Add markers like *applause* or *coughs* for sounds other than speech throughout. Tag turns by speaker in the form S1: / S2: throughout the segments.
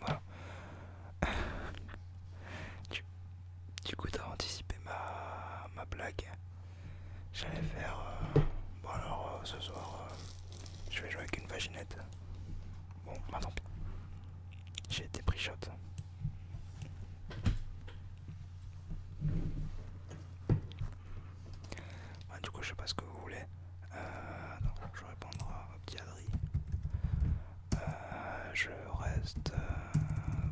S1: Voilà. Du, coup, t'as anticipé ma, blague. J'allais faire. Euh, bon, alors euh, ce soir, euh, je vais jouer avec une vaginette. Bon, maintenant J'ai été pris shot. Bah, du coup, je sais pas ce que vous voulez. Euh, je répondrai à petit euh, je reste euh,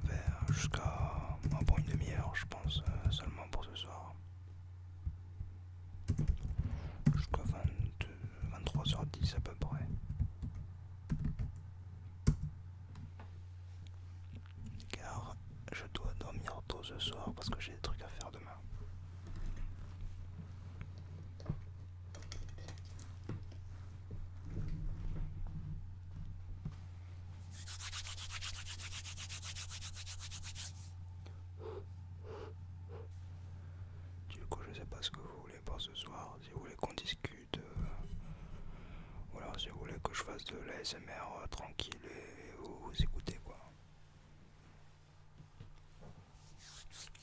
S1: vers jusqu'à point une demi-heure, je pense, seulement pour ce soir. Jusqu'à 23h10 à peu près. Car je dois dormir tôt ce soir parce que j'ai des trucs à faire demain. Du coup, je sais pas ce que vous voulez pour ce soir. Si vous voulez qu'on discute, euh, ou alors si vous voulez que je fasse de l'ASMR euh, tranquille et, vous écoutez quoi.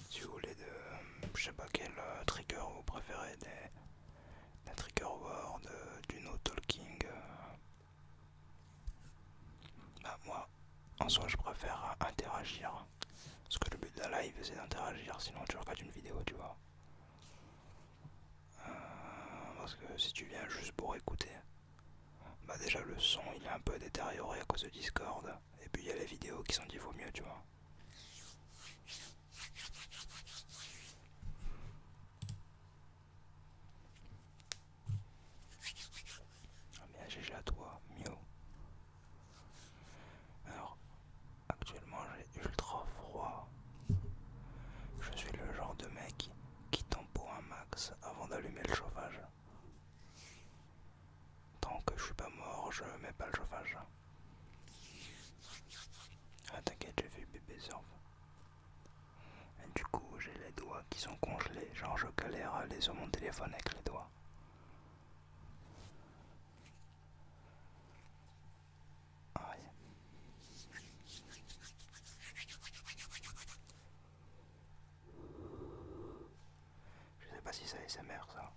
S1: Si vous voulez de. Je sais pas quel euh, trigger vous préférez, des, des trigger word, euh, du no talking. Euh. Bah, moi, en soi, je préfère interagir. Parce que le but de la live, c'est d'interagir, sinon tu regardes une vidéo, tu vois. parce que si tu viens juste pour écouter, bah déjà le son il est un peu détérioré à cause de Discord. Et puis il y a les vidéos qui sont dit vaut mieux, tu vois. Bien, ah, GG à toi, mieux Alors, actuellement j'ai ultra froid. Je suis le genre de mec qui pour un max avant d'allumer le chauffage. Tant que je suis pas mort, je mets pas le chauffage. Ah t'inquiète, j'ai vu bébé surf. Et du coup, j'ai les doigts qui sont congelés, genre je galère à aller sur mon téléphone avec les doigts. Ah, je sais pas si ça c'est mère ça.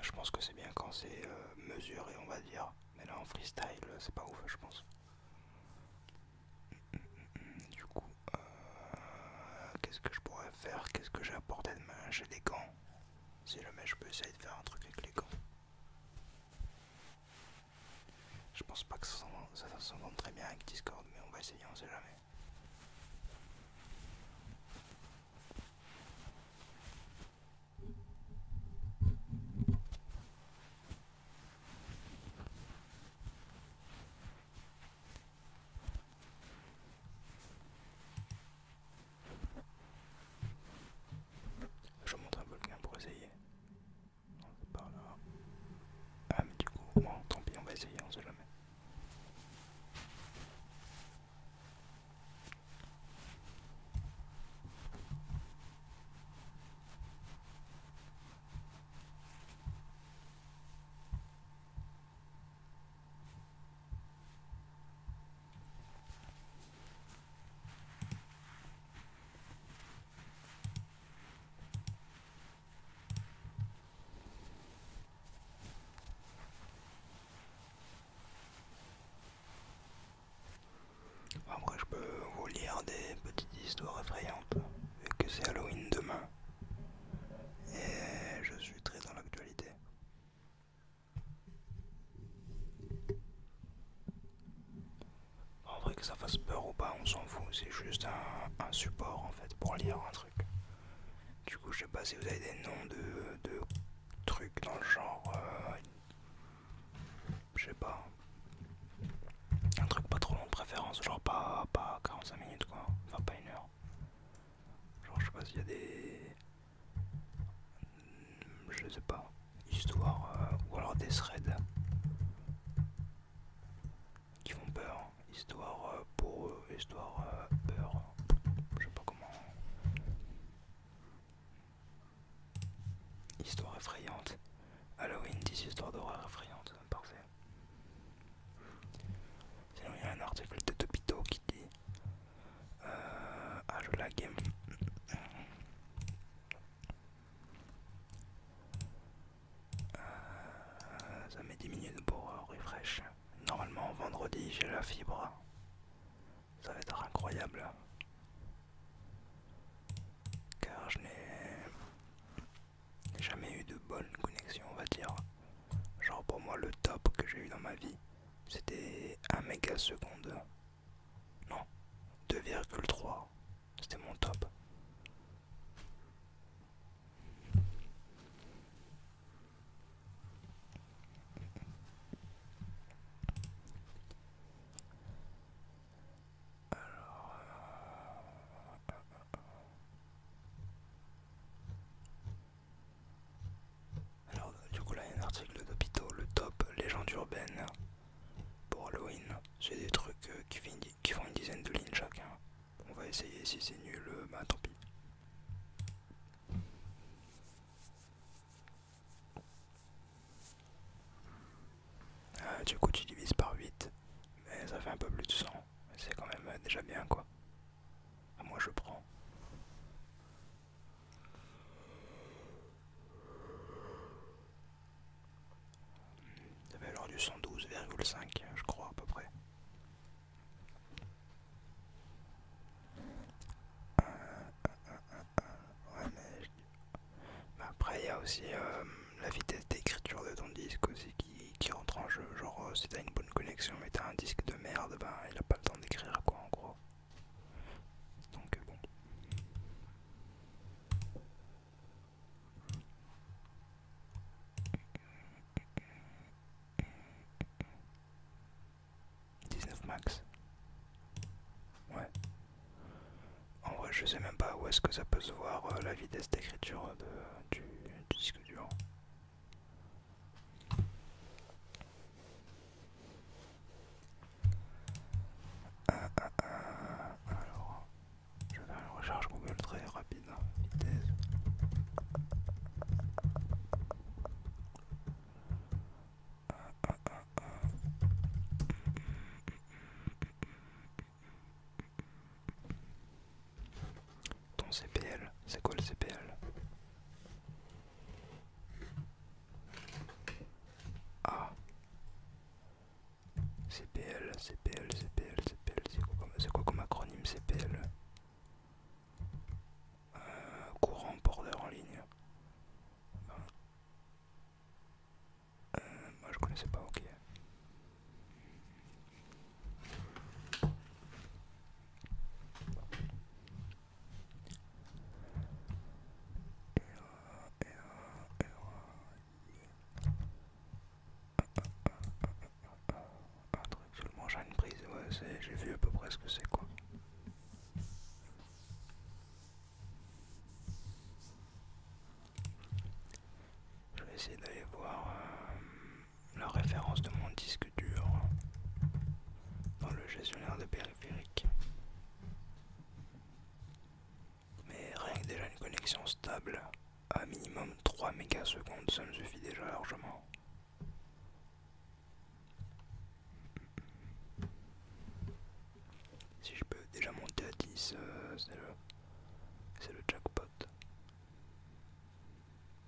S1: je pense que c'est bien quand c'est euh, mesuré, on va dire. Mais là en freestyle, euh, c'est pas ouf, je pense. Du coup, euh, qu'est-ce que je pourrais faire Qu'est-ce que j'ai apporté de main J'ai des gants. Si jamais je peux essayer de faire un truc avec les gants. Je pense pas que ça s'entende très bien avec Discord, mais on va essayer, on sait jamais. Je montre un volcan pour essayer. Ah, mais du coup, moi tant pis, on va essayer, on sait jamais. Après je peux vous lire des petites histoires effrayantes vu que c'est Halloween demain et je suis très dans l'actualité. En vrai que ça fasse peur ou pas, on s'en fout, c'est juste un, support en fait pour lire un truc. Du coup je sais pas si vous avez des noms de, trucs dans le genre... Euh, je sais pas. Un truc pas trop long de préférence, genre pas, pas 45 minutes quoi, enfin pas une heure. Genre je sais pas s'il y a des... Hmm, je sais pas, histoire, euh, ou alors des threads qui font peur, histoire euh, pour histoire euh, peur, je sais pas comment, histoire effrayante, Halloween 10 histoire d'horreur effrayante, parfait. Sinon il y a un article de Topito qui dit euh, ah, je lag. Euh, ça met 10 minutes pour euh, refresh. Normalement, vendredi, j'ai la fibre. Ça va être incroyable. Car je n'ai jamais eu de bonne connexion, on va dire. Genre pour moi, le top que j'ai eu dans ma vie, c'était 1 seconde, Non, 2,3. C'était mon top. Alors, alors, du coup, là, il y a un article d'hôpitaux, le top, légende urbaine pour Halloween. C'est des trucs euh, qui, font une dizaine de lignes chacun. On va essayer, si c'est nul, euh, bah tant pis. Euh, du coup, tu divises par 8, mais ça fait un peu plus de 100. C'est quand même déjà bien, quoi. Ah, moi je prends. La alors du 112,5 je crois à peu près. après il y a aussi euh, la vitesse d'écriture de ton disque aussi qui, qui rentre en jeu. Genre euh, connexion, mais t'as un disque de merde, ben il a pas le temps d'écrire quoi en gros. Donc euh, bon. « 19 max Ouais. En vrai, je sais même pas où est-ce que ça peut se voir euh, la vitesse d'écriture du disque dur alors, je vais faire une recherche Google très rapide. Vitesse ton CPL. C'est quoi le CPL Ah CPL, CPL, CPL, CPL, c'est quoi, comme acronyme CPL euh, Courant border en ligne. Euh, moi je connaissais pas, ok. Un truc seulement, j'ai une prise, ouais, j'ai vu à peu près ce que c'est quoi. Je vais essayer d'aller voir euh, la référence de mon disque dur dans le gestionnaire de périphériques. Mais rien que déjà une connexion stable à minimum 3 secondes, ça me suffit déjà largement. Si je peux déjà monter à 10, euh, c'est le jackpot.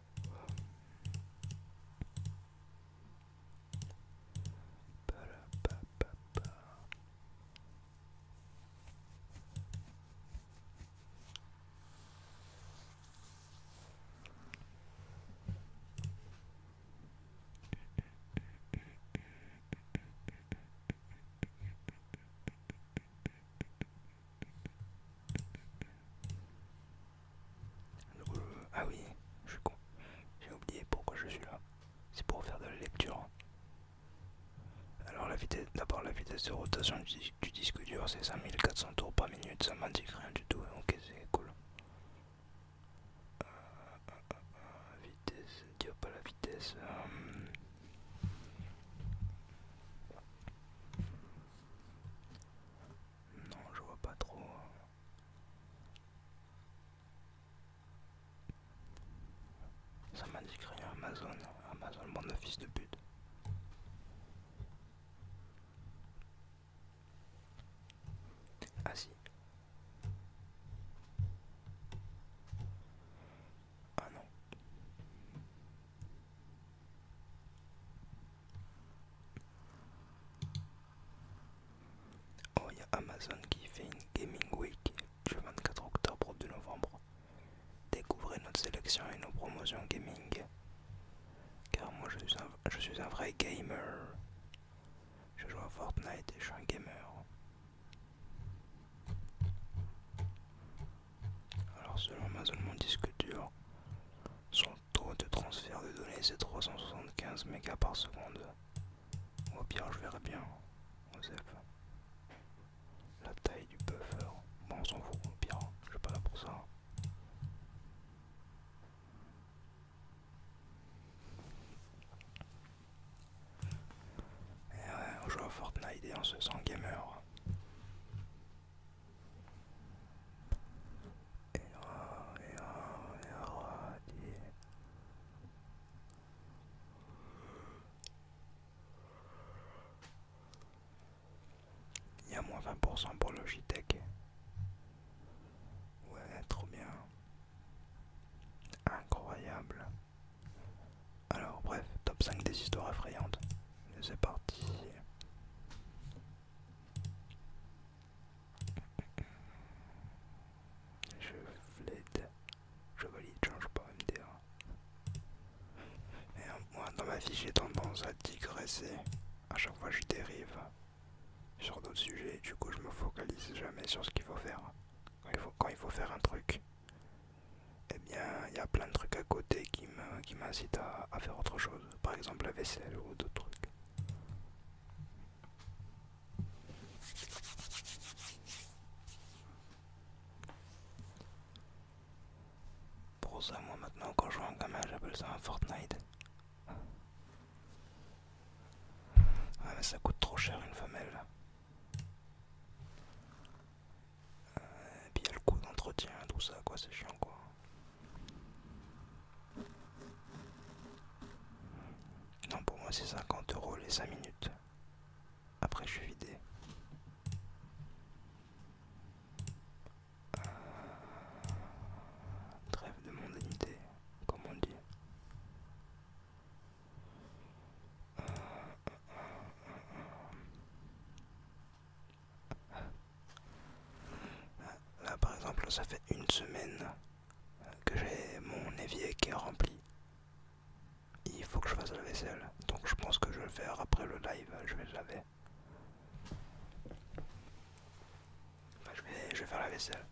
S1: papa ah oui, je suis con. J'ai oublié pourquoi je suis là. C'est pour faire de la lecture. Alors la vitesse, d'abord la vitesse de rotation du, disque dur, c'est 5400 tours par minute. Ça m'indique rien du tout. Ok, c'est cool. Euh, euh, euh, vitesse, pas la vitesse. Non, je vois pas trop. Hein. Ça m'indique rien, Amazon. Amazon, mon office de but. Ah si. Ah non. Oh, il y a Amazon qui fait une Gaming Week du 24 octobre au 2 novembre. Découvrez notre sélection et nos promotions gaming. Car moi je suis un, vrai gamer. Je joue à Fortnite et je suis un gamer. Alors selon Amazon mon disque dur, taux de transfert de données c'est 375 mégas par seconde. Au pire, je verrai bien. On La taille du buffer. Bon, on s'en fout. Au pire, je suis pas là pour ça. Et on joue à Fortnite et on se sent gamer. Il y a moins 20% pour Logitech. Ouais, trop bien. Incroyable. Alors bref, top 5 des histoires effrayantes. C'est parti. Je fled. Je valide, change pas MDR. Et moi dans ma vie j'ai tendance à digresser. À chaque fois je dérive sur d'autres sujets. Du coup je me focalise jamais sur ce qu'il faut faire. Quand il faut, faire un truc, eh bien il y a plein de trucs à côté qui m'incitent qui à faire autre chose. Par exemple la vaisselle ou d'autres trucs. Pour ça, moi maintenant, quand je vois un gamin, j'appelle ça un Fortnite. Ah mais ça coûte trop cher une femelle. Euh, et puis il y a le coût d'entretien, tout ça, quoi, c'est chiant, quoi. Non, pour moi c'est 50 euros les 5 minutes. Après je suis vidé. Euh, trêve de mondanité, comme on dit. Euh, euh, Là par exemple ça fait une semaine que j'ai mon évier qui est rempli. Il faut que je fasse la vaisselle. Donc je pense que je vais le faire après le live, je vais le laver. je, vais, faire la vaisselle.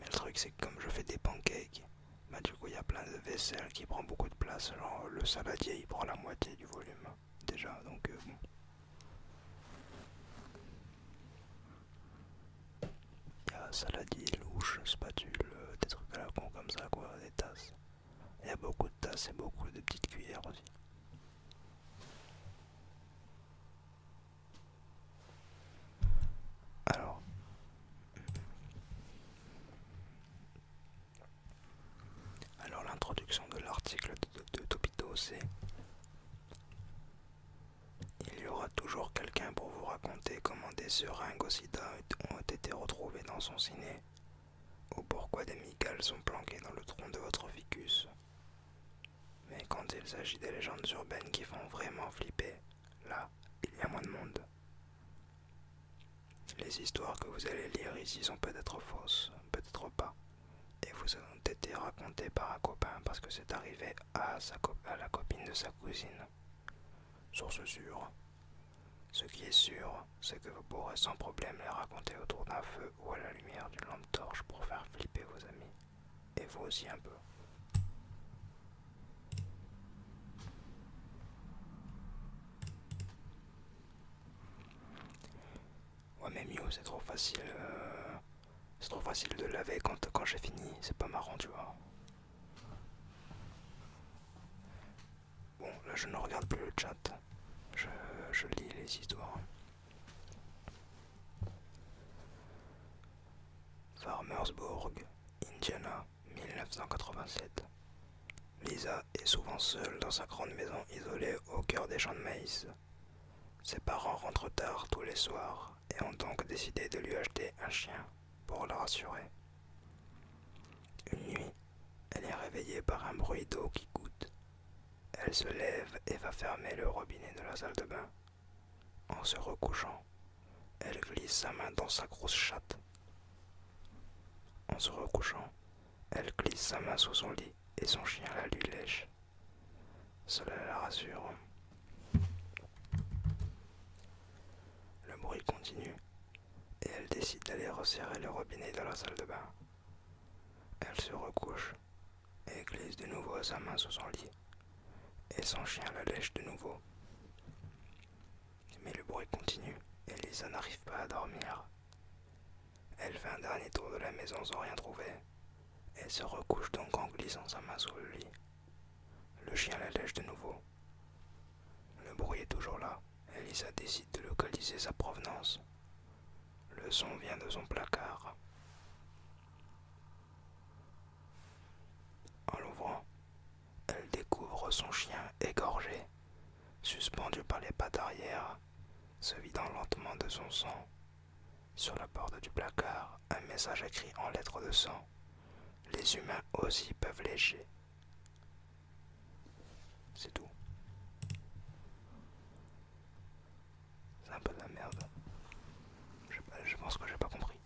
S2: Mais le truc c'est que comme je fais des pancakes, bah du coup il y a plein de vaisselle qui prend beaucoup
S1: de place. Genre le saladier il prend la moitié du volume déjà, donc euh, bon. Il y a louche, spatule, euh, des trucs à la con comme ça quoi, des tasses. Il y a beaucoup de tasses et beaucoup de petites cuillères aussi. Alors. Alors l'introduction de l'article de, Topi il y aura toujours quelqu'un pour vous raconter comment des seringues au sida ont été retrouvées dans son ciné, ou pourquoi des migales sont planquées dans le tronc de votre ficus. Mais quand il s'agit des légendes urbaines qui font vraiment flipper, là, il y a moins de monde. Les histoires que vous allez lire ici sont peut-être fausses, peut-être pas et vous avez été racontés par un copain parce que c'est arrivé à, la copine de sa cousine. Source sûre. Ce qui est sûr, c'est que vous pourrez sans problème les raconter autour d'un feu ou à la lumière d'une lampe torche pour faire flipper vos amis. Et vous aussi un peu.
S2: Ouais mais mieux c'est trop facile. Euh, c'est trop facile
S1: de laver quand, j'ai fini, c'est pas marrant, tu vois. Bon, là je ne regarde plus le chat, je, je lis les histoires. Farmersburg, Indiana, 1987. Lisa est souvent seule dans sa grande maison isolée au cœur des champs de maïs. Ses parents rentrent tard tous les soirs et ont donc décidé de lui acheter un chien pour le rassurer. Une nuit, elle est réveillée par un bruit d'eau qui goûte. Elle se lève et va fermer le robinet de la salle de bain. En se recouchant, elle glisse sa main dans sa grosse chatte. En se recouchant, elle glisse sa main sous son lit et son chien la lui lèche. Cela la rassure. Le
S2: bruit continue et elle décide d'aller resserrer le robinet dans la salle
S1: de bain. Elle se recouche et glisse de nouveau sa main sous son lit et son chien la lèche de nouveau. Mais le bruit continue et Lisa n'arrive pas à dormir. Elle fait un dernier tour de la maison sans rien trouver, Elle se recouche donc en glissant sa main sous le lit. Le chien lèche de nouveau. Le bruit est toujours là. Elisa décide de localiser sa provenance. Le son vient de son placard. En l'ouvrant, elle découvre son chien égorgé, suspendu par les pattes arrière, se vidant lentement de son sang sur la porte du placard, un message écrit en lettres de sang. Les humains aussi peuvent lécher. C'est tout. C'est un peu de la merde. Je, pense que j'ai pas compris.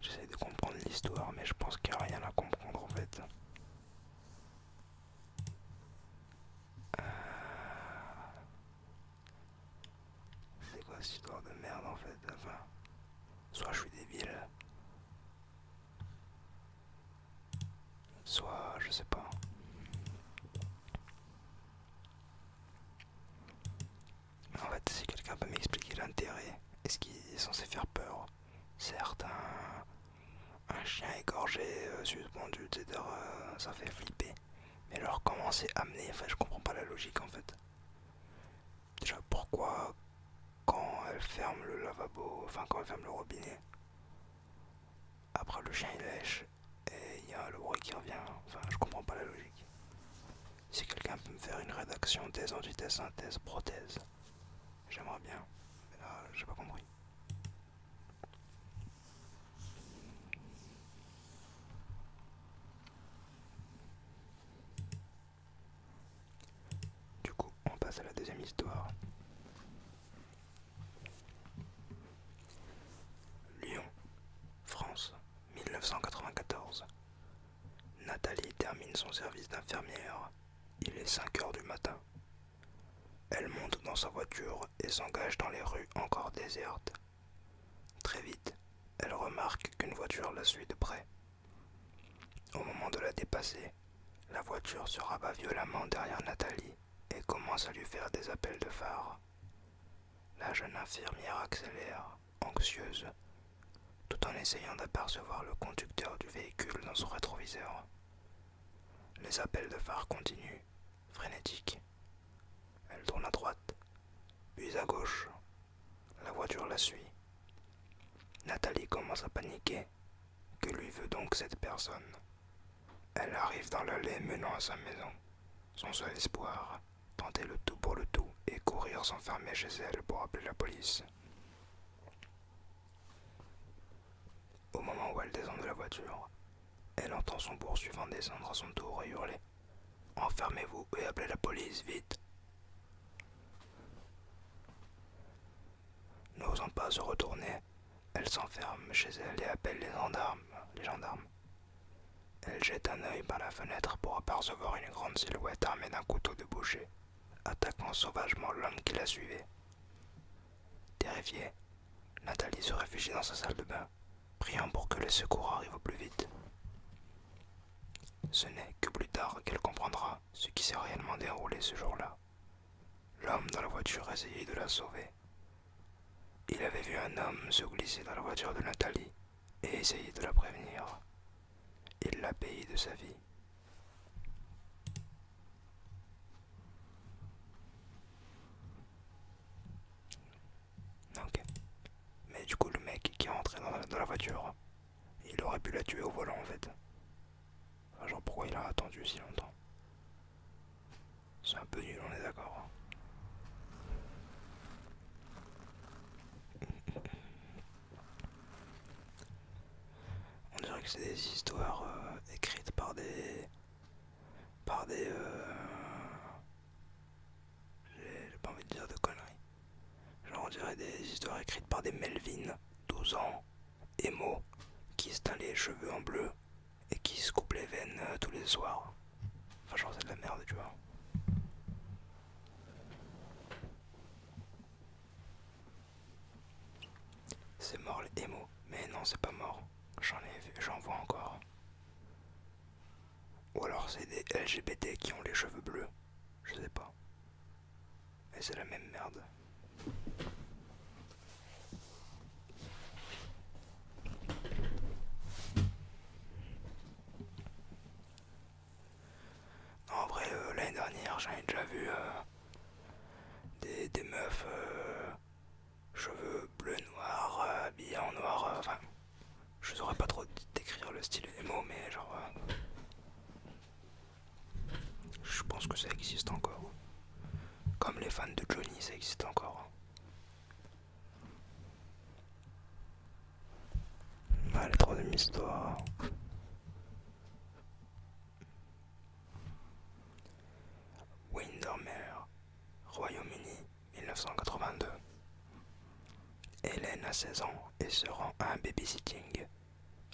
S1: J'essaie de comprendre l'histoire, mais je pense qu'il n'y a rien à comprendre en fait. Euh, c'est quoi cette histoire de merde en fait soit je suis débile, soit je sais pas. En fait, si quelqu'un peut m'expliquer l'intérêt, est-ce qu'il est censé faire peur Certes, un, chien égorgé, euh, suspendu, euh, ça fait flipper. Mais alors, comment c'est amené Enfin, je comprends pas la logique en fait. Déjà, pourquoi quand elle ferme le lavabo, enfin quand elle ferme le robinet, après le chien il lèche et il y a le bruit qui revient. Enfin, je comprends pas la logique. Si quelqu'un peut me faire une rédaction des entités synthèse prothèse, j'aimerais bien. Mais là, j'ai pas compris.
S2: Du coup, on passe à la
S1: deuxième histoire. Lyon, France, 1994. Nathalie termine son service d'infirmière. Il est 5 heures du matin. Elle monte dans sa voiture et s'engage dans les rues encore désertes. Très vite, elle remarque qu'une voiture la suit de près. Au moment de la dépasser, la voiture se rabat violemment derrière Nathalie et commence à lui faire des appels de phare. La jeune infirmière accélère, anxieuse, tout en essayant d'apercevoir le conducteur du véhicule dans son rétroviseur. Les appels de phare continuent, frénétiques. Elle tourne à droite, puis à gauche. La voiture la suit. Nathalie commence à paniquer. Que lui veut donc cette personne elle arrive dans l'allée menant à sa maison. Son seul espoir, tenter le tout pour le tout et courir s'enfermer chez elle pour appeler la police. Au moment où elle descend de la voiture, elle entend son poursuivant descendre à son tour et hurler Enfermez-vous et appelez la police, vite N'osant pas se retourner, elle s'enferme chez elle et appelle les gendarmes. Les gendarmes. Elle jette un œil par la fenêtre pour apercevoir une grande silhouette armée d'un couteau de boucher, attaquant sauvagement l'homme qui la suivait. Terrifiée, Nathalie se réfugie dans sa salle de bain, priant pour que les secours arrivent au plus vite. Ce n'est que plus tard qu'elle comprendra ce qui s'est réellement déroulé ce jour-là.
S2: L'homme dans la voiture essayait de la sauver, il avait vu un homme se glisser dans
S1: la voiture de Nathalie et essayer de la prévenir. Il l'a payé de sa vie. Ok. Mais du coup, le mec qui est rentré dans la, voiture, il aurait pu la tuer au volant en fait. Genre pourquoi il a attendu si longtemps c'est un peu nul, on est d'accord. Hein.
S2: On dirait que c'est des histoires euh, écrites par
S1: des. par des. Euh, j'ai pas envie de dire de conneries. Genre, on dirait des histoires écrites par des Melvin, 12 ans, émo, qui se les cheveux en bleu et qui se coupe les veines euh, tous les soirs. Enfin, genre, c'est de la merde, tu vois. C'est mort les émo. Mais non, c'est pas mort. J'en ai j'en vois encore. Ou alors c'est des LGBT qui ont les cheveux bleus. Je sais pas. Mais c'est la même merde en vrai, euh, l'année dernière, j'en ai déjà vu euh, des, meufs euh, cheveux bleu noir, habillées en noir. Enfin, je saurais pas trop décrire le style des mots, mais genre. je pense que ça existe encore. Comme les fans de Johnny, ça existe encore. Mal bah, troisième histoire. Windermere, Royaume-Uni, 1982. Hélène a 16 ans et se rend à un babysitting.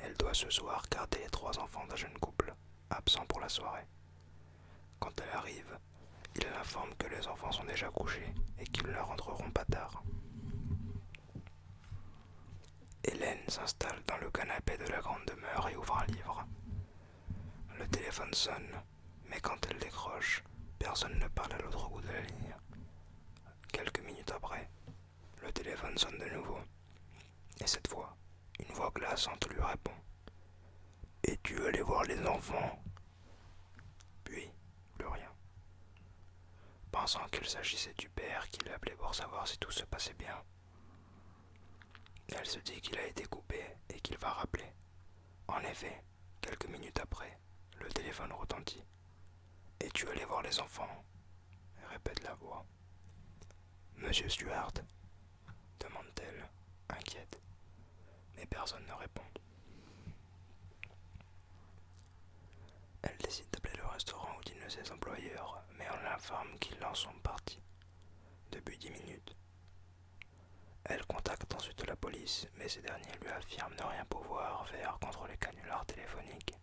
S1: Elle doit ce soir garder les trois enfants d'un jeune couple, absent pour la soirée. Quand elle arrive, il l'informe que les enfants sont déjà couchés et qu'ils ne rentreront pas tard. Hélène s'installe dans le canapé de la grande demeure et ouvre un livre. Le téléphone sonne, mais quand elle décroche, personne ne parle à l'autre bout de la ligne. Quelques minutes après, le téléphone sonne de nouveau, et cette fois, une voix glaçante lui répond. Et tu allé voir les enfants. Puis, plus rien. Pensant qu'il s'agissait du père qui l'appelait pour savoir si tout se passait bien. Elle se dit qu'il a été coupé et qu'il va rappeler. En effet, quelques minutes après, le téléphone retentit. Et tu allé voir les enfants, répète la voix. Monsieur Stuart, demande-t-elle, inquiète. Mais personne ne répond. Elle décide d'appeler le restaurant où dînent ses employeurs, mais on l'informe qu'ils en sont parti, depuis dix minutes. Elle contacte ensuite la police, mais ces derniers lui affirment ne rien pouvoir faire contre les canulars téléphoniques.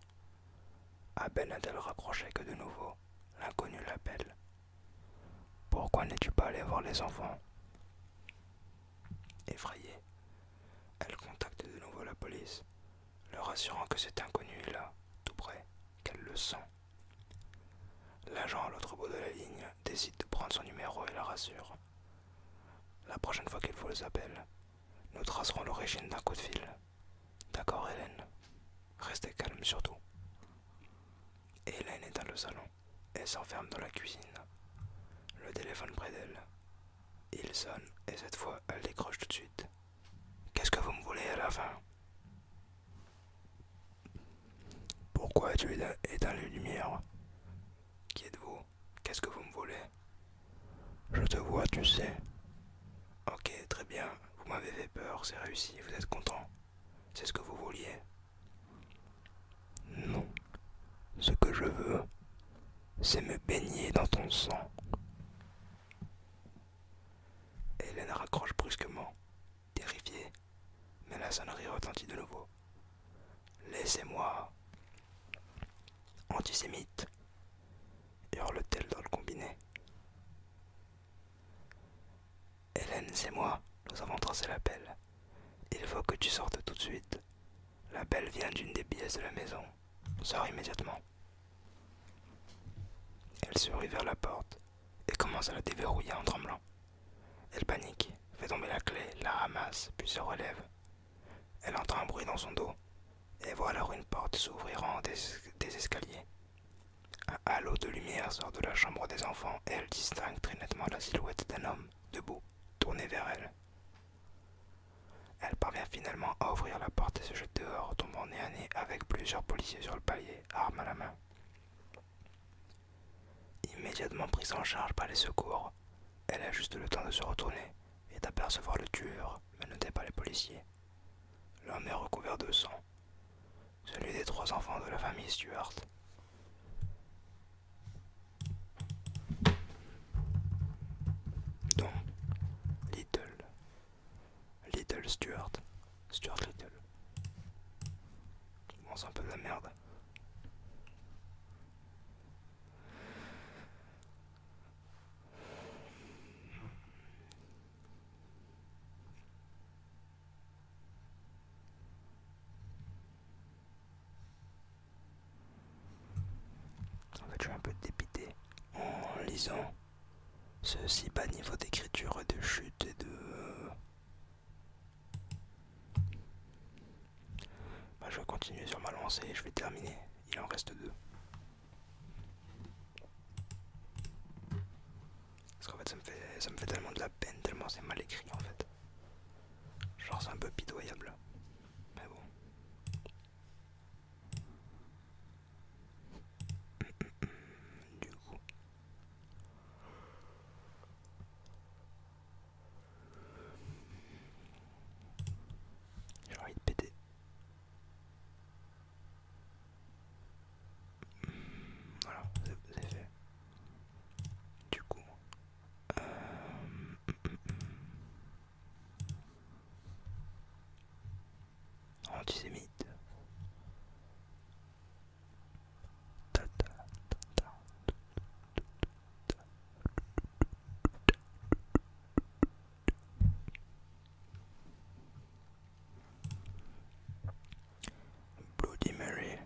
S1: À peine a elle raccroché que de nouveau, l'inconnu l'appelle pourquoi n'es-tu pas allé voir les enfants Effrayée, elle contacte de nouveau la police, leur assurant que cet inconnu est là, tout près, qu'elle le sent. L'agent à l'autre bout de la ligne décide de prendre son numéro et la rassure. La prochaine fois qu'il faut les appelle, nous tracerons l'origine d'un coup de fil. D'accord, Hélène Restez calme surtout. Hélène est dans le salon. Elle s'enferme dans la cuisine. Le téléphone près d'elle. Il sonne et cette fois elle décroche tout de suite. Qu'est-ce que vous me voulez à la fin Pourquoi as-tu éteint les lumières Qui êtes-vous Qu'est-ce que vous me voulez Je te vois, tu sais. Ok, très bien. Vous m'avez fait peur, c'est réussi, vous êtes content. C'est ce que vous vouliez Non. Ce que je veux, c'est me baigner dans ton sang. Hélène raccroche brusquement, terrifiée, mais la sonnerie retentit de nouveau. Laissez-moi. Antisémite, hurle-t-elle dans le combiné. Hélène, c'est moi, nous avons tracé la pelle. Il faut que tu sortes tout de suite. La belle vient d'une des pièces de la maison. Sors immédiatement. Elle se rue vers la porte et commence à la déverrouiller en tremblant. Elle panique, fait tomber la clé, la ramasse, puis se relève. Elle entend un bruit dans son dos et voit alors une porte s'ouvrir en des, escaliers. Un halo de lumière sort de la chambre des enfants et elle distingue très nettement la silhouette d'un homme debout, tournée vers elle. Elle parvient finalement à ouvrir la porte et se jette dehors, tombant nez à nez avec plusieurs policiers sur le palier, armes à la main. Immédiatement prise en charge par les secours, elle a juste le temps de se retourner et d'apercevoir le tueur menotté par les policiers. L'homme est recouvert de sang, celui des trois enfants de la famille Stuart. Donc, Little, Little Stuart, Stuart Little. je pense un peu de la merde. En fait, je suis un peu dépité en lisant ceci, pas bas niveau d'écriture de chute et de. Euh, bah, je vais continuer sur ma lancée je vais terminer. Il en reste deux. Parce qu'en ça, fait ça me fait tellement de la peine, tellement c'est mal écrit en fait. Genre c'est un peu pitoyable. Mais bon. *coughs* Du coup. J'ai envie de péter. Voilà, c'est fait. Du coup, Um, antisémite. Ta -ta -ta -ta. Bloody Mary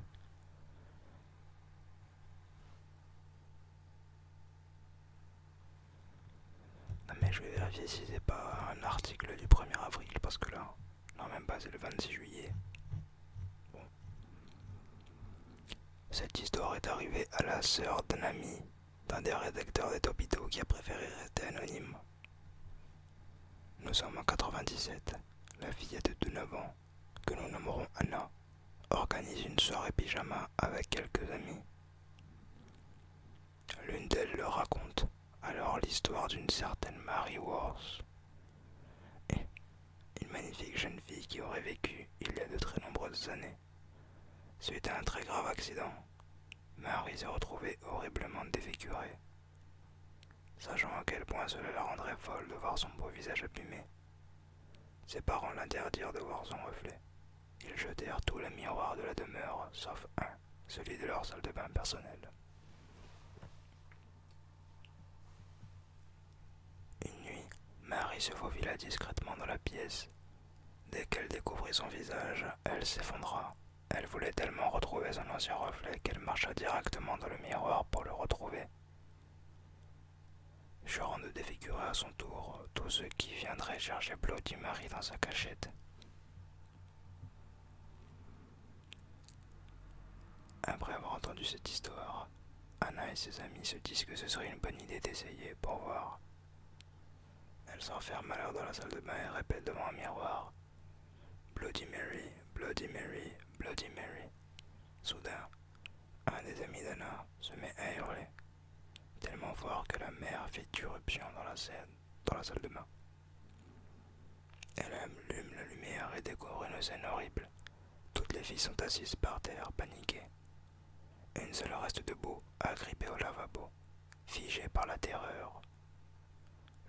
S1: Non mais je vais vérifier si c'est pas un article du 1er avril parce que là, non même pas, c'est le 26 juillet. Cette histoire est arrivée à la sœur d'un ami, d'un des rédacteurs des Topito qui a préféré rester anonyme. Nous sommes en 97. La fille a de 9 ans que nous nommerons Anna, organise une soirée pyjama avec quelques amis. L'une d'elles leur raconte alors l'histoire d'une certaine Mary Worth,
S2: une magnifique jeune fille qui aurait vécu il y a de très nombreuses années. Suite à un très grave accident, Mary s'est retrouvée horriblement défigurée sachant à quel point cela la
S1: rendrait folle de voir son beau visage abîmé. Ses parents l'interdirent de voir son reflet. Ils jetèrent tous les miroirs de la demeure, sauf un, celui de leur salle de bain personnelle. Une nuit, Marie se faufila discrètement dans la pièce. Dès qu'elle découvrit son
S2: visage, elle s'effondra. Elle voulait tellement retrouver son ancien reflet qu'elle marcha directement dans le miroir pour le retrouver, de défigura à
S1: son tour tous ceux qui viendraient charger Bloody Mary dans sa cachette. Après avoir entendu cette histoire, Anna et ses amis se disent que ce serait une bonne idée d'essayer pour voir. Elle s'enferme alors dans la salle de bain et répète devant un miroir Bloody Mary, Bloody Mary, Bloody Mary. Soudain, un des amis d'Anna se met à hurler, tellement fort que la mère fait irruption dans la, dans la salle de bain. Elle allume la lumière et découvre une scène horrible. Toutes les filles sont assises par terre, paniquées. Une seule reste debout, agrippée au lavabo, figée par la terreur.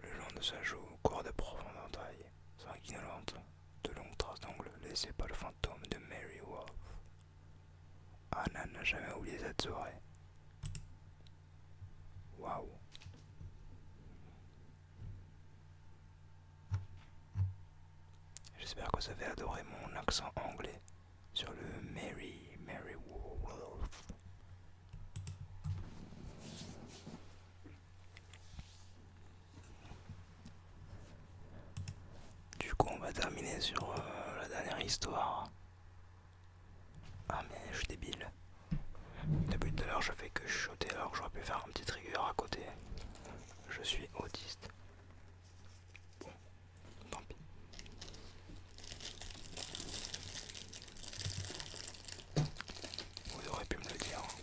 S1: Le long de sa joue court de profondes entailles sanguinolente, de longues traces d'ongles Laissez pas le fantôme de Mary Wolf. Anna n'a jamais oublié cette soirée. Waouh! J'espère que vous avez adoré mon accent anglais sur le Mary, Mary Wolf. Du coup, on va terminer sur euh, la dernière histoire. Ah, mais je suis débile. Depuis tout à l'heure, je fais que chuchoter alors j'aurais pu faire un petit trigger à côté. Je suis autiste. Bon, tant pis. Vous aurez pu me le dire. Hein.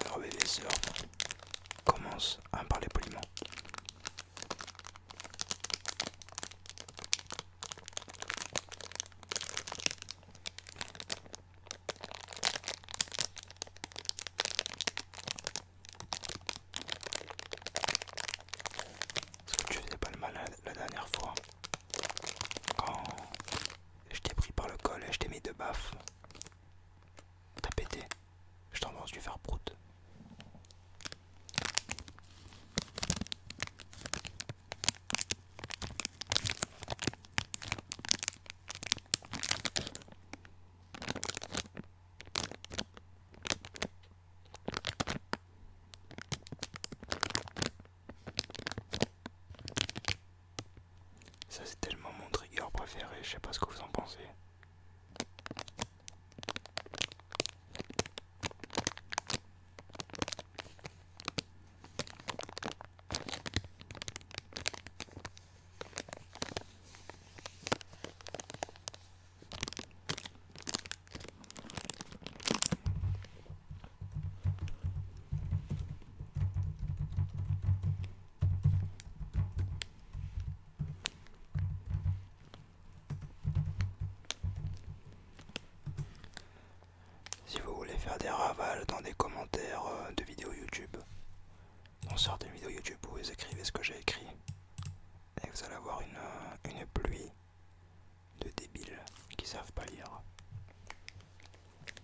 S1: Alors bébé sœurs commence à me parler poliment. Est-ce que tu faisais pas le malade la dernière fois Quand je t'ai pris par le col et je t'ai mis de baffes T'as pété. Je tendance du faire prout. Ça c'est tellement mon trigger préféré, je sais pas ce que vous en pensez. Si vous voulez faire des ravals dans des commentaires euh, de vidéos YouTube, on sort vidéos YouTube où vous écrivez ce que j'ai écrit et vous allez avoir une, euh, pluie de débiles qui savent pas lire.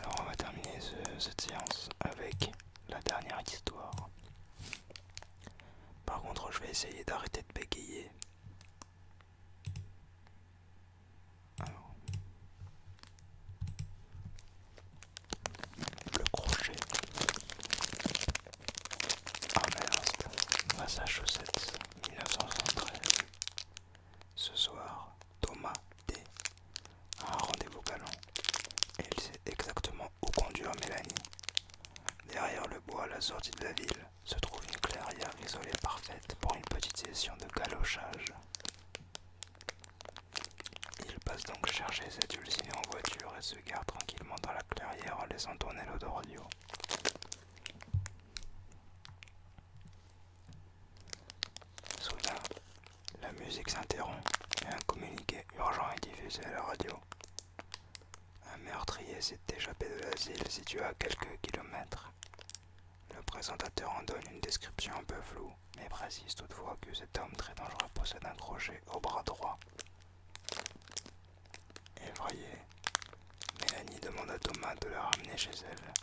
S1: Alors on va terminer cette séance avec la dernière histoire. Par contre je vais essayer d'arrêter de bégayer. Alors le crochet. Ah Massachusetts, 1973. Ce soir, Thomas D a un rendez-vous galant et il sait exactement où conduire Mélanie. Derrière le bois à la sortie de la ville se trouve une clairière isolée parfaite pour une petite session de galochage. Il passe donc chercher cette ulcine en voiture et se garde tranquillement dans la clairière en laissant tourner l'autoradio. Soudain, la musique s'interrompt et un communiqué urgent est diffusé à la radio. Un meurtrier s'est échappé de l'asile situé à quelques kilomètres. Le présentateur en donne une description un peu floue mais précise toutefois que cet homme très dangereux possède un crochet au bras droit. voyez, Mélanie demande à Thomas de la ramener chez elle.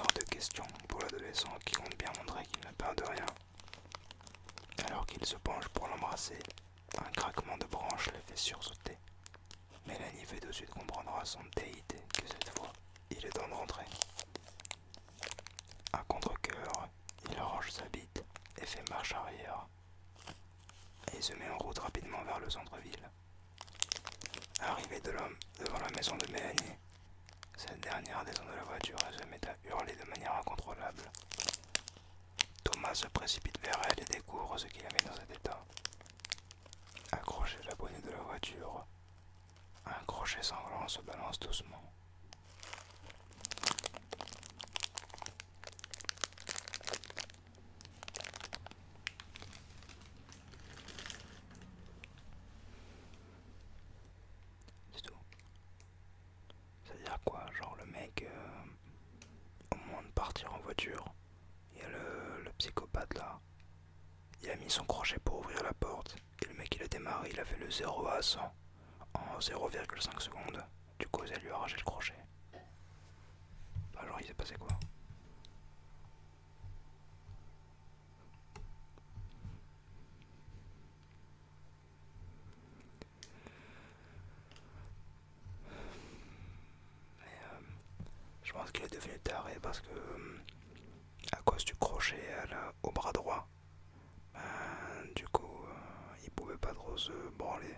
S1: Hors de question pour l'adolescent qui compte bien montrer qu'il ne peur de rien. Alors qu'il se penche pour l'embrasser, un craquement de branche le fait sursauter. Mélanie fait de suite comprendre à son déité que cette fois, il est temps de rentrer. À contre cœur il range sa bite et fait marche arrière. Et il se met en route rapidement vers le centre-ville. Arrivé de l'homme devant la maison de Mélanie, cette dernière descend de la voiture et se met à hurler de manière incontrôlable. Thomas se précipite vers elle et découvre ce qu'il avait dans cet état. Accroché à la bonnet de la voiture, un crochet sanglant se balance doucement. C'est tout. C'est-à-dire quoi Genre le mec, euh, au moment de partir en voiture, il y a le psychopathe là. Il a mis son crochet pour ouvrir la porte. Et le mec il a démarré, il a fait le 0 à 100 en 0,5 secondes. Du coup, à lui a arraché le crochet. alors bah, il s'est passé quoi euh, Je pense qu'il est devenu taré parce que, euh, à cause du crochet au bras droit, ben, du coup, euh, il pouvait pas trop se branler.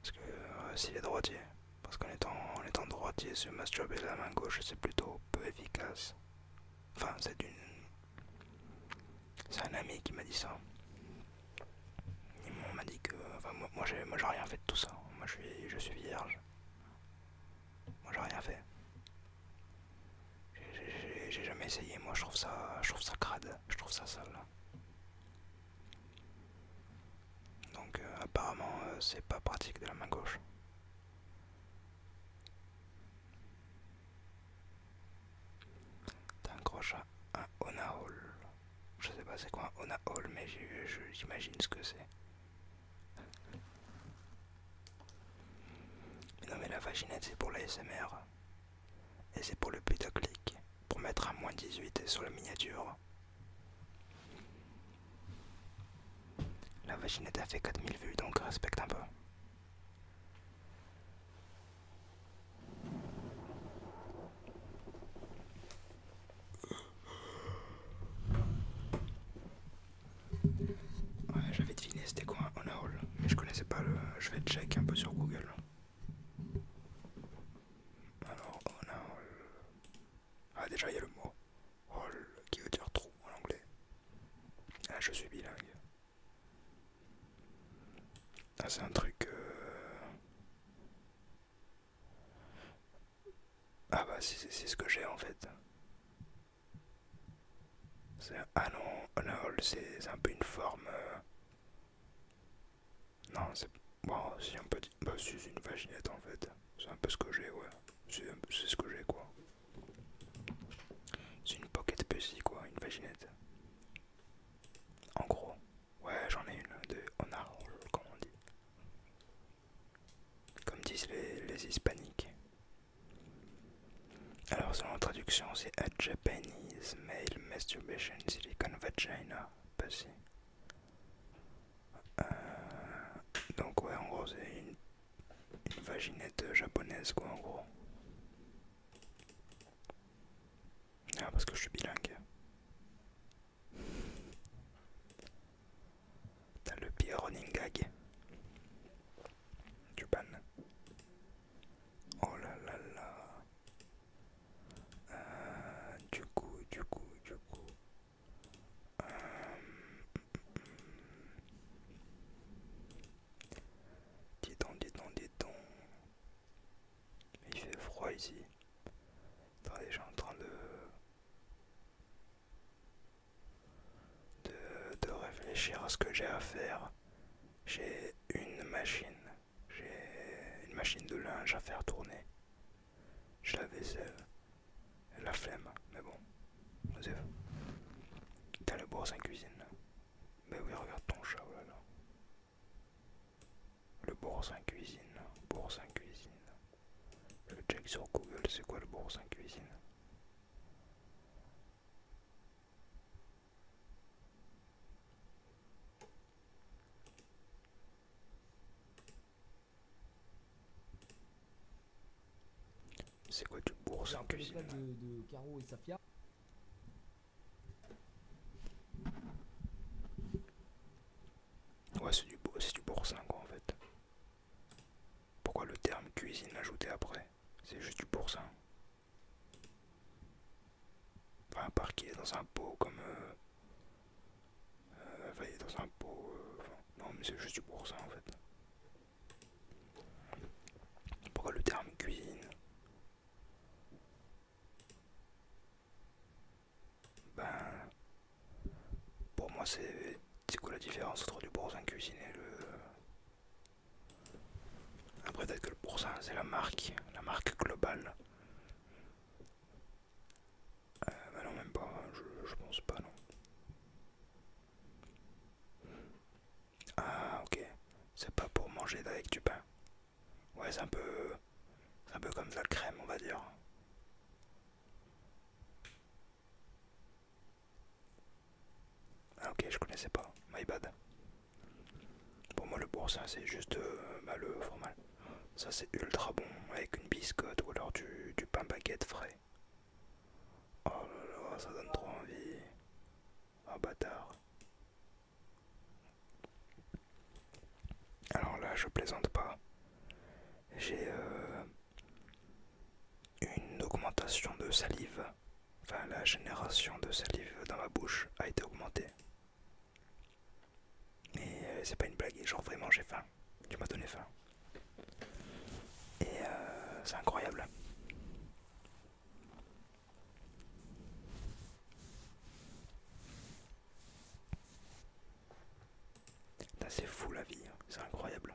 S1: Parce que euh, s'il est droitier, parce qu'en étant, en étant droitier, se masturber de la main gauche, c'est plutôt peu efficace. Enfin, c'est une. C'est un ami qui m'a dit ça. Il m'a dit que. Enfin, moi, moi j'ai rien fait de tout ça. Moi, je suis, je suis vierge. Moi, j'ai rien fait. J'ai jamais essayé, moi je trouve ça, je trouve ça crade, je trouve ça sale. Donc euh, apparemment euh, c'est pas pratique de la main gauche. T'as un crochet, un ona Je sais pas c'est quoi un on-a Hall mais j'imagine ce que c'est. Non mais la vaginette c'est pour la SMR. Et c'est pour le clic Pour mettre à moins 18 sur la miniature. La vaginette a fait 4000 vues donc respecte un peu. Ouais, j'avais deviné c'était quoi un a hall, mais je connaissais pas le. Je vais check un peu sur Google. Alors, on a hall. Ah, déjà il y a le mot hall qui veut dire trou en anglais. Ah, je suis bilingue. Ah, c'est un truc. Euh, ah, bah, c'est ce que j'ai en fait. Ah non, hall c'est un peu une forme. Euh, non, c'est. Bon, c'est un petit. Bah, c'est une vaginette en fait. C'est un peu ce que j'ai, ouais. C'est ce que j'ai quoi. C'est une pocket pussy quoi, une vaginette. En gros. Ouais, j'en ai une de
S2: hall, comme on dit. Comme disent les, les hispaniques.
S1: Alors, selon la traduction, c'est A Japanese Male Masturbation Silicon Vagina. pas bah, si. Euh, donc, ouais, en gros, c'est une, une vaginette euh, japonaise, quoi, en gros. Ah, parce que je suis bilingue. T'as le pire running gag du panne Oh là là là. Euh, du coup, du coup, du coup. Euh, dis donc, dis donc, dis donc. Il fait froid ici. T'as sera en train de de, réfléchir à ce que j'ai à faire. J'ai une machine, j'ai une machine de linge à faire tourner. je la vaisselle, la flemme, mais bon, tu' T'as le en cuisine là. Ben oui, regarde ton chat, oh là là. Le 5 cuisine, en cuisine. Le check sur Google, c'est quoi le en cuisine c'est quoi du boursin cuisine de, de Ouais, c'est du, du boursin quoi en fait. Pourquoi le terme cuisine ajouté après c'est juste du pourcent. Enfin, un dans un pot comme. Euh, euh, enfin, dans un pot. Euh, non, mais c'est juste du pourcent en fait. Pourquoi le terme cuisine Ben. Pour moi, c'est quoi la différence entre du boursin cuisiné et le après peut-être que le ça c'est la marque, la marque globale. Euh, bah non même pas, hein, je, je pense pas non. Ah ok, c'est pas pour manger avec du pain. Ouais c'est un peu. C'est un peu comme de la crème on va dire. Ah ok, je connaissais pas. My bad. Pour moi, le boursin, c'est juste euh, le euh, Ça, c'est ultra bon avec une biscotte ou alors du, du pain baguette frais. Oh là là, ça donne trop envie. Ah oh, bâtard. Alors là, je plaisante pas. J'ai euh, une augmentation de salive, enfin la génération de salive dans ma bouche a été augmentée. Et euh, c'est pas une blague, genre vraiment j'ai faim, tu m'as donné faim. Et euh, c'est incroyable. C'est fou la vie, hein. c'est incroyable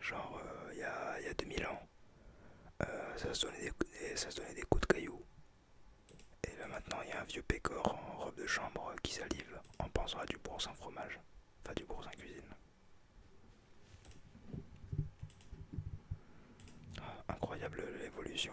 S1: genre euh, il y, a 2000 ans, euh, ça, se donnait des, coups de cailloux. Et là maintenant il y a un vieux pécor en robe de chambre qui salive en pensant à du bourg sans fromage, enfin du bourg sans cuisine. Ah, incroyable l'évolution.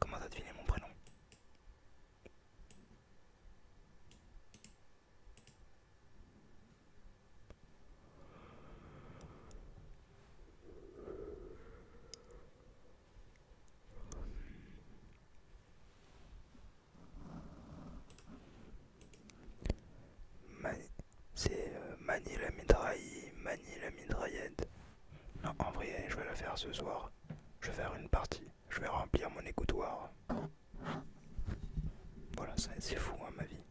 S1: Comment t'as mon prénom c'est euh, Mani la Midraï, Mani la Non, en vrai, je vais la faire ce soir. Je vais faire une partie. Je vais remplir mon écoutoir. Voilà, c'est fou, à hein, ma vie.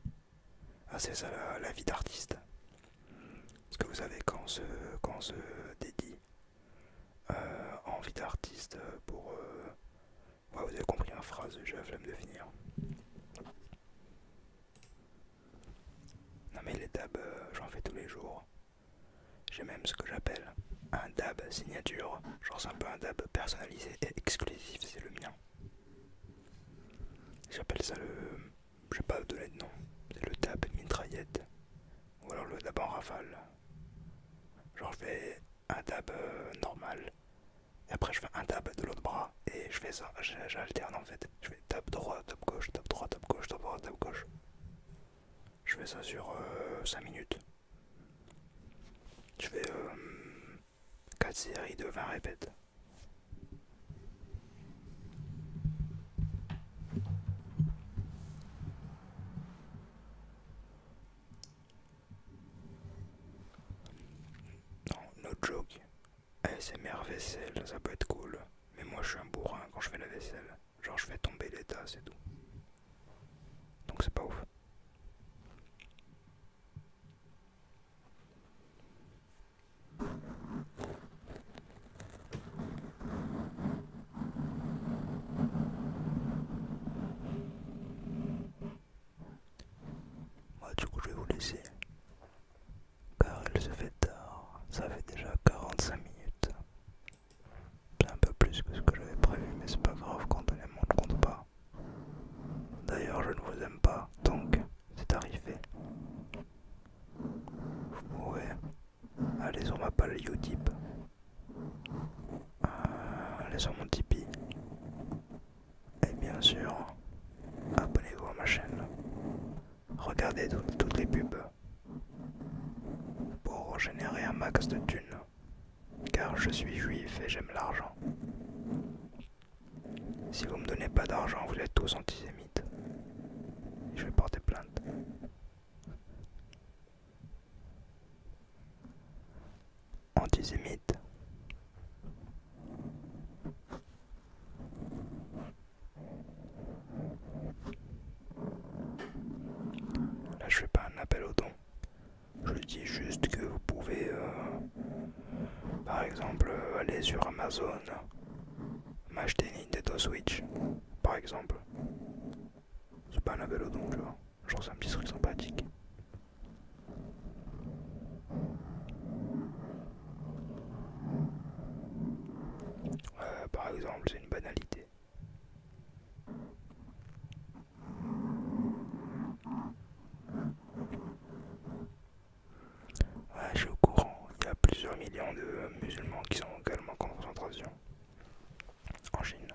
S1: Ah, c'est ça la, vie d'artiste. Parce que vous savez, quand on se dédie euh, envie d'artiste pour... Euh, vous avez compris ma hein, phrase, j'ai la flemme de finir. Non mais les dabs, euh, j'en fais tous les jours. J'ai même ce que j'appelle un dab signature. Genre c'est un peu un dab personnalisé et exclusif, c'est le mien. J'appelle ça le... Je pas de de nom. C'est le dab mitraillette. Ou alors le dab en rafale. Genre je fais un dab euh, normal. Et après je fais un dab de l'autre bras. Et je fais ça, j'alterne en fait. Je fais dab droit, dab gauche, dab droit, dab gauche, dab droit, dab gauche. Je fais ça sur 5 euh, minutes. Je fais 4 euh, séries de 20 répètes. Non, no joke. ASMR vaisselle, ça peut être cool. Mais moi je suis un bourrin quand je fais la vaisselle. Genre je fais tomber les tas, c'est tout. Donc c'est pas ouf. Moi du coup je vais vous laisser car il se fait tard, ça fait déjà 45 minutes. C'est un peu plus que ce que j'avais prévu mais c'est pas grave quand on aime on ne compte pas. D'ailleurs je ne vous aime pas donc c'est arrivé. Vous pouvez Allez sur ma page Utip. Euh, allez sur mon Tipeee. Et bien sûr, abonnez-vous à ma chaîne. Regardez toutes les pubs pour générer un max de thunes. Car je suis juif et j'aime l'argent. Si vous me donnez pas d'argent, vous êtes tous antisémites. Je vais porter plainte antisémite Là je fais pas un appel au don, je dis juste que vous pouvez euh, par exemple euh, aller sur Amazon, m'acheter Nintendo Switch par exemple c'est pas un au don Genre c'est un petit truc sympathique. Euh, par exemple, c'est une banalité. je suis au courant, qu'il y a plusieurs millions de musulmans qui sont également en concentration en Chine.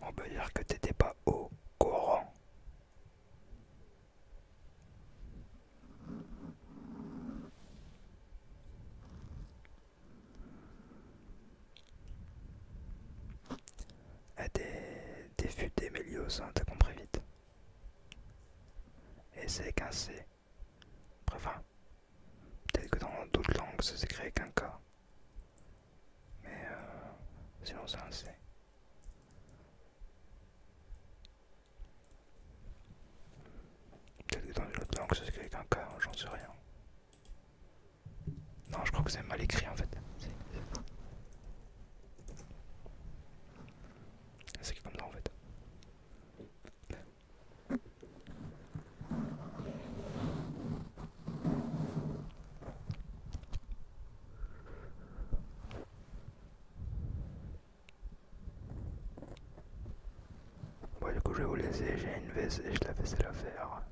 S1: On peut dire que t'étais pas au courant. Eh, des t'es futé, Mélios, hein, t'as compris vite. Et c'est cassé bref peut-être que dans d'autres langues ça s'écrit avec un K. Mais euh, sinon c'est Peut-être que dans d'autres langues ça s'écrit avec un K, j'en sais rien. Non, je crois que c'est mal écrit en fait. C'est comme ça en fait. Bon, du coup, je vais vous laisser. J'ai une et je la vaisselle à faire.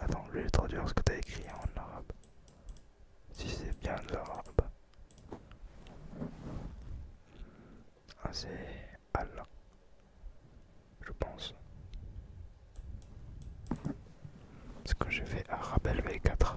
S1: Attends, je vais traduire ce que t'as écrit en arabe. Si c'est bien là ah, c'est je pense. Est-ce que j'ai fait Arabel V4.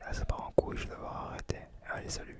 S2: Là ça part en couille, je vais devoir arrêter. Allez, salut